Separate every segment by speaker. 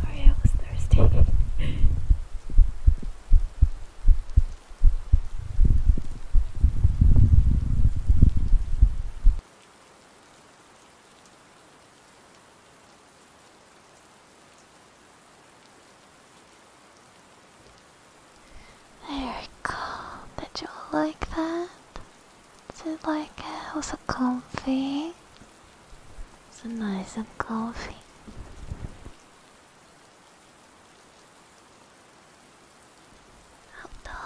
Speaker 1: Sorry, I was thirsty. There we go. Did you like that? Did you like uh, it? Was it comfy? It's nice and comfy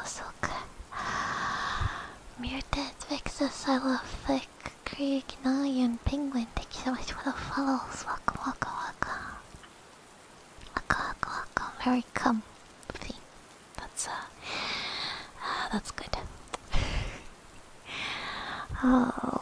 Speaker 1: so good. Mutant Vixus, I love Penguin, thank you so much for the follows. Welcome, welcome, welcome. Welcome, welcome, welcome. that's, uh, ah, that's good. oh.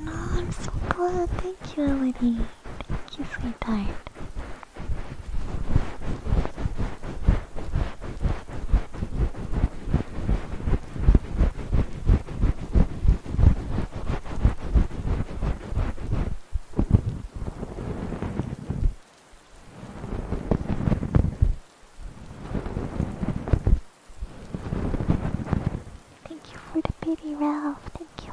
Speaker 1: Oh, I'm so glad. Thank you, Elodie. Thank you, sweetheart. Thank you for the baby, Ralph. Thank you.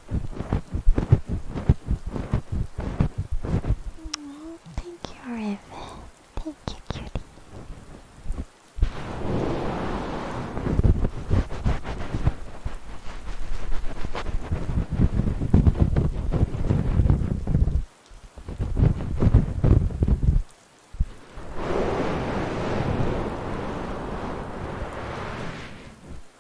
Speaker 1: thank you, Evan. Thank you, cutie.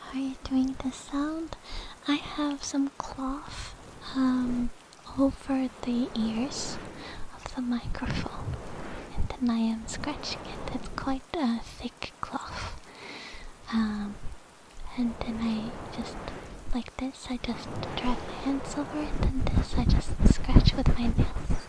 Speaker 1: How are you doing this sound? I have some cloth um, over the ears of the microphone, and then I am scratching it. It's quite a thick cloth, um, and then I just like this. I just drag my hands over it, and this I just scratch with my nails.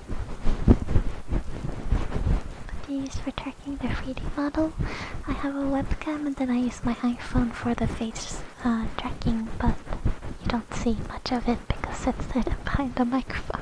Speaker 1: What do you use for tracking the 3D model? I have a webcam and then I use my iPhone for the face uh, tracking, but you don't see much of it because it's hidden behind the microphone.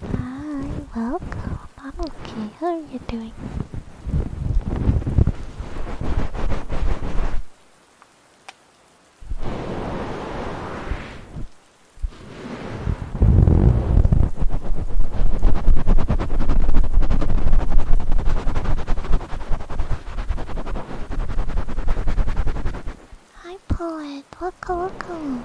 Speaker 1: Hi, welcome. I'm okay. How are you doing? Hi, poet. Welcome, welcome.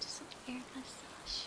Speaker 1: Just a weird massage.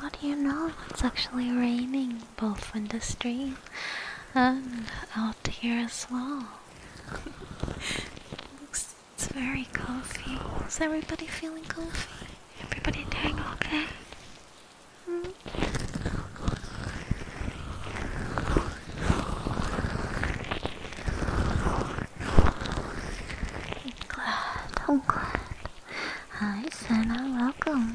Speaker 1: What do you know? It's actually raining both in the street and out here as well it's
Speaker 2: very comfy. Is everybody feeling comfy? Everybody doing okay? Hmm?
Speaker 1: i Hi, Senna, welcome.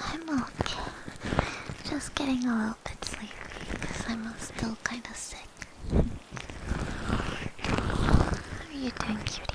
Speaker 1: I'm okay. Just getting a little bit sleepy because I'm still kind of sick. How are you doing, cutie?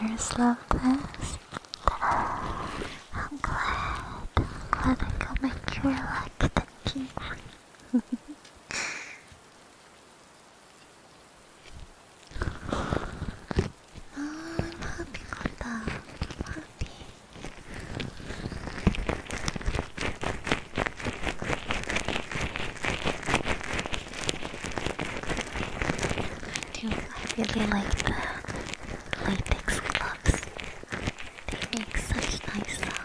Speaker 1: Here's love this. I'm glad. I'm glad
Speaker 2: I can make you relaxed and tingly. oh, I'm happy for that. I'm happy.
Speaker 1: I do I really like the latex gloves. They make such nice sounds.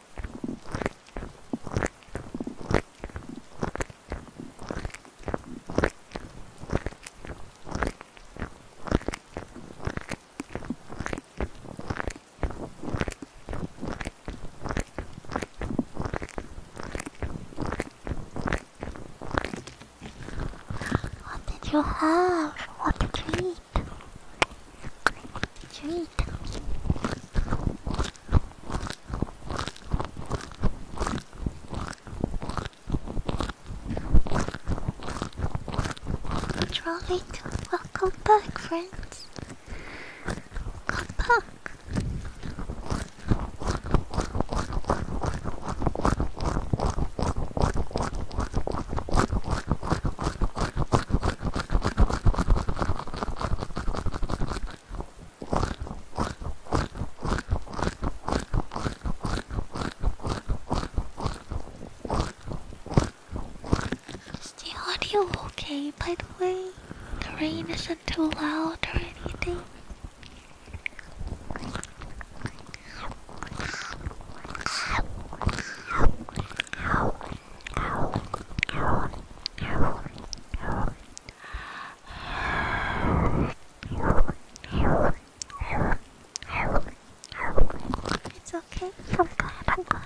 Speaker 1: What did you have? What did you eat? treat. welcome back,
Speaker 2: friends. Come back. Is
Speaker 1: the audio okay, by the way? The rain isn't too loud or anything? It's okay. I'm glad. I'm glad.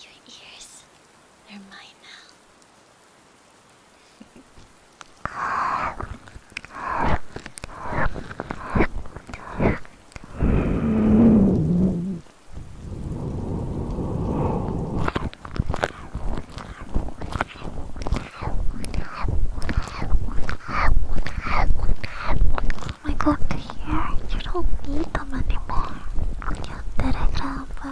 Speaker 1: Your ears, are mine now. Oh my god, here you don't need them anymore. You did a job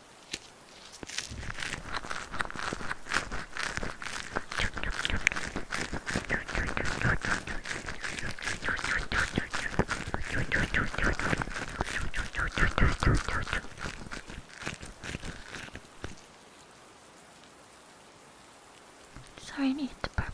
Speaker 1: Sorry, I needed to burp.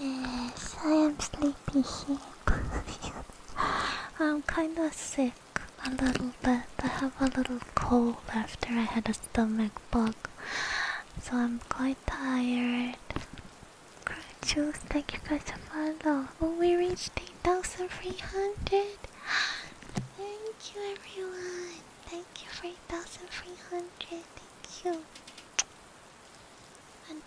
Speaker 2: Yes, I am sleepy
Speaker 1: here. I'm kind of sick, a little bit. I have a little cold after I had a stomach bug, so I'm quite tired. Jules, thank you guys for follow. Oh, we reached 8,300. Thank you, everyone. Thank you for 8,300 you. And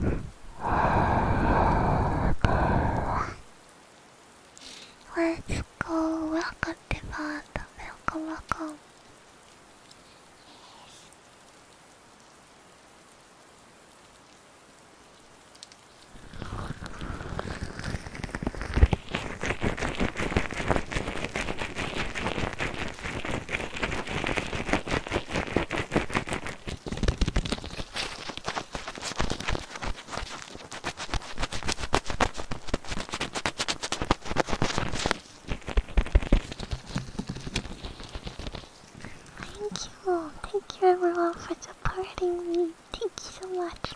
Speaker 1: Let's go. Welcome, Devon. Welcome,
Speaker 2: welcome. Yes. Thank
Speaker 1: you, thank you everyone for supporting me. Thank you
Speaker 2: so much.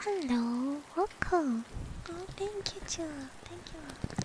Speaker 2: Hello, welcome. Oh, thank you, Jill. Thank you.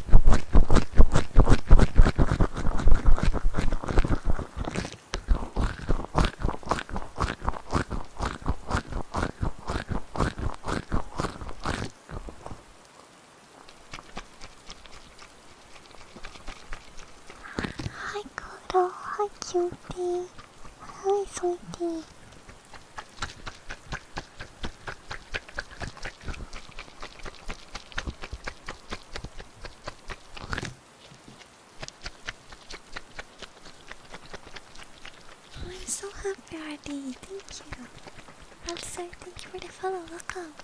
Speaker 2: は
Speaker 1: いコーラはいキューティーはいソイティー Oh, I'm so happy, RD. Thank you. Also, thank you for the follow. up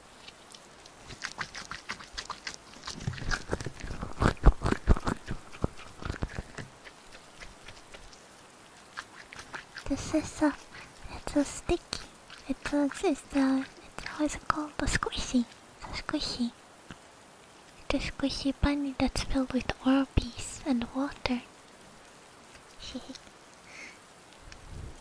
Speaker 1: This is a, it's a sticky, it's a, it's a, it's how is called? A squishy, it's a squishy. It's a squishy bunny that's filled with Orbeez and water.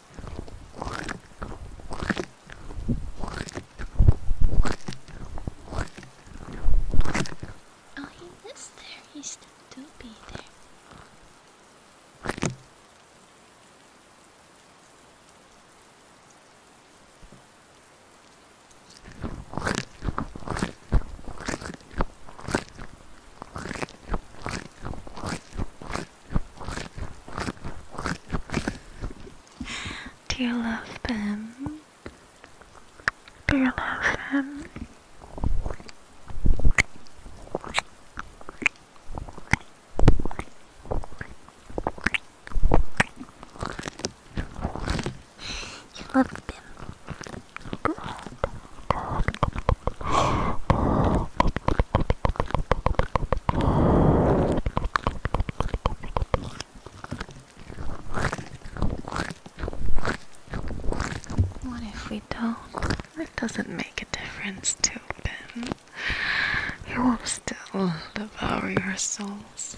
Speaker 1: Oh, he was there. He still do be there. Do you love them?
Speaker 2: Do you love them? You love them.
Speaker 1: What if we don't? It doesn't make a difference to Ben. You will still devour your souls.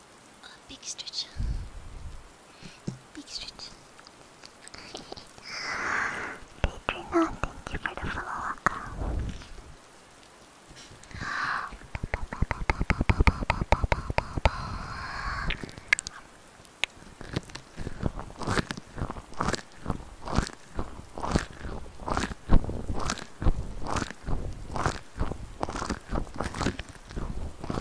Speaker 1: A oh, big stretch. Big stretch. Patreon, thank you for the follow up.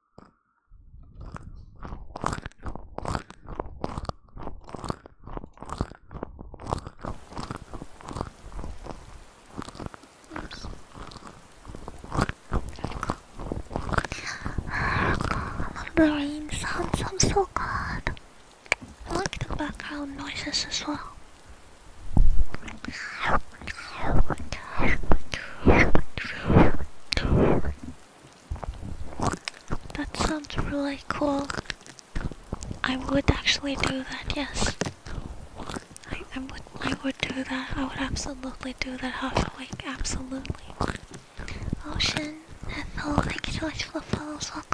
Speaker 1: My brain sounds so good. I like the background noises as well. That sounds really cool. I would actually do that, yes. I, would I would do that. I would absolutely do that half absolutely. Ocean, Ethel, thank you so much for the follows, welcome.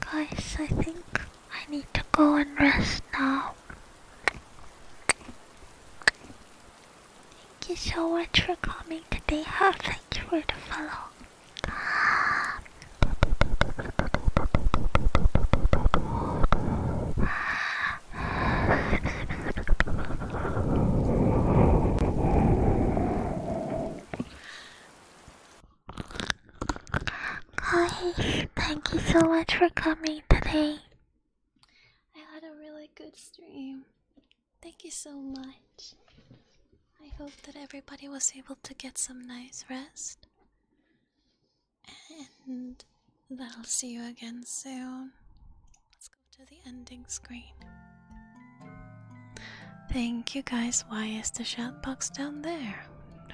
Speaker 1: Guys, I think I need to go and rest now. Thank you so much for coming today. How thank you for the follow.
Speaker 2: Hi, thank
Speaker 1: you so much for coming today. I had a really good stream. Thank you so much. I hope that everybody was able to get some nice rest. And that I'll see you again soon. Let's go to the ending screen. Thank you guys. Why is the chat box down there?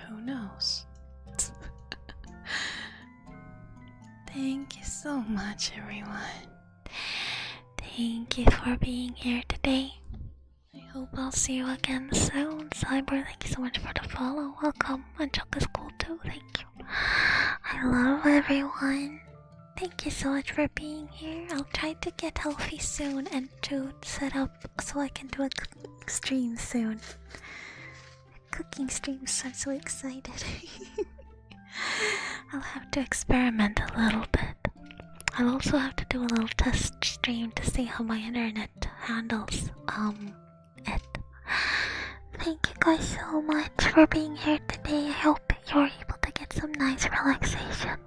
Speaker 1: Who knows? Thank you so much, everyone. Thank you for being here today. I hope I'll see you again soon. Cyber, thank you so much for the follow. Welcome. And Chuck is cool too. Thank you. I love everyone. Thank you so much for being here. I'll try to get healthy soon and to set up so I can do a cooking stream soon. cooking streams, I'm so excited. I'll have to experiment a little bit. I'll also have to do a little test stream to see how my internet handles um it. Thank you guys so much for being here today. I hope you're able to get some nice relaxation.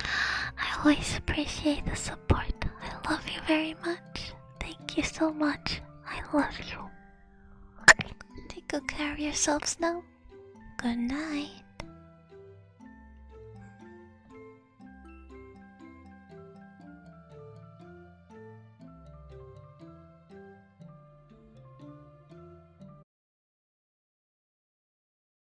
Speaker 1: I always appreciate the support. I love you very much. Thank you so much. I love you. Take good care of yourselves now. Good night.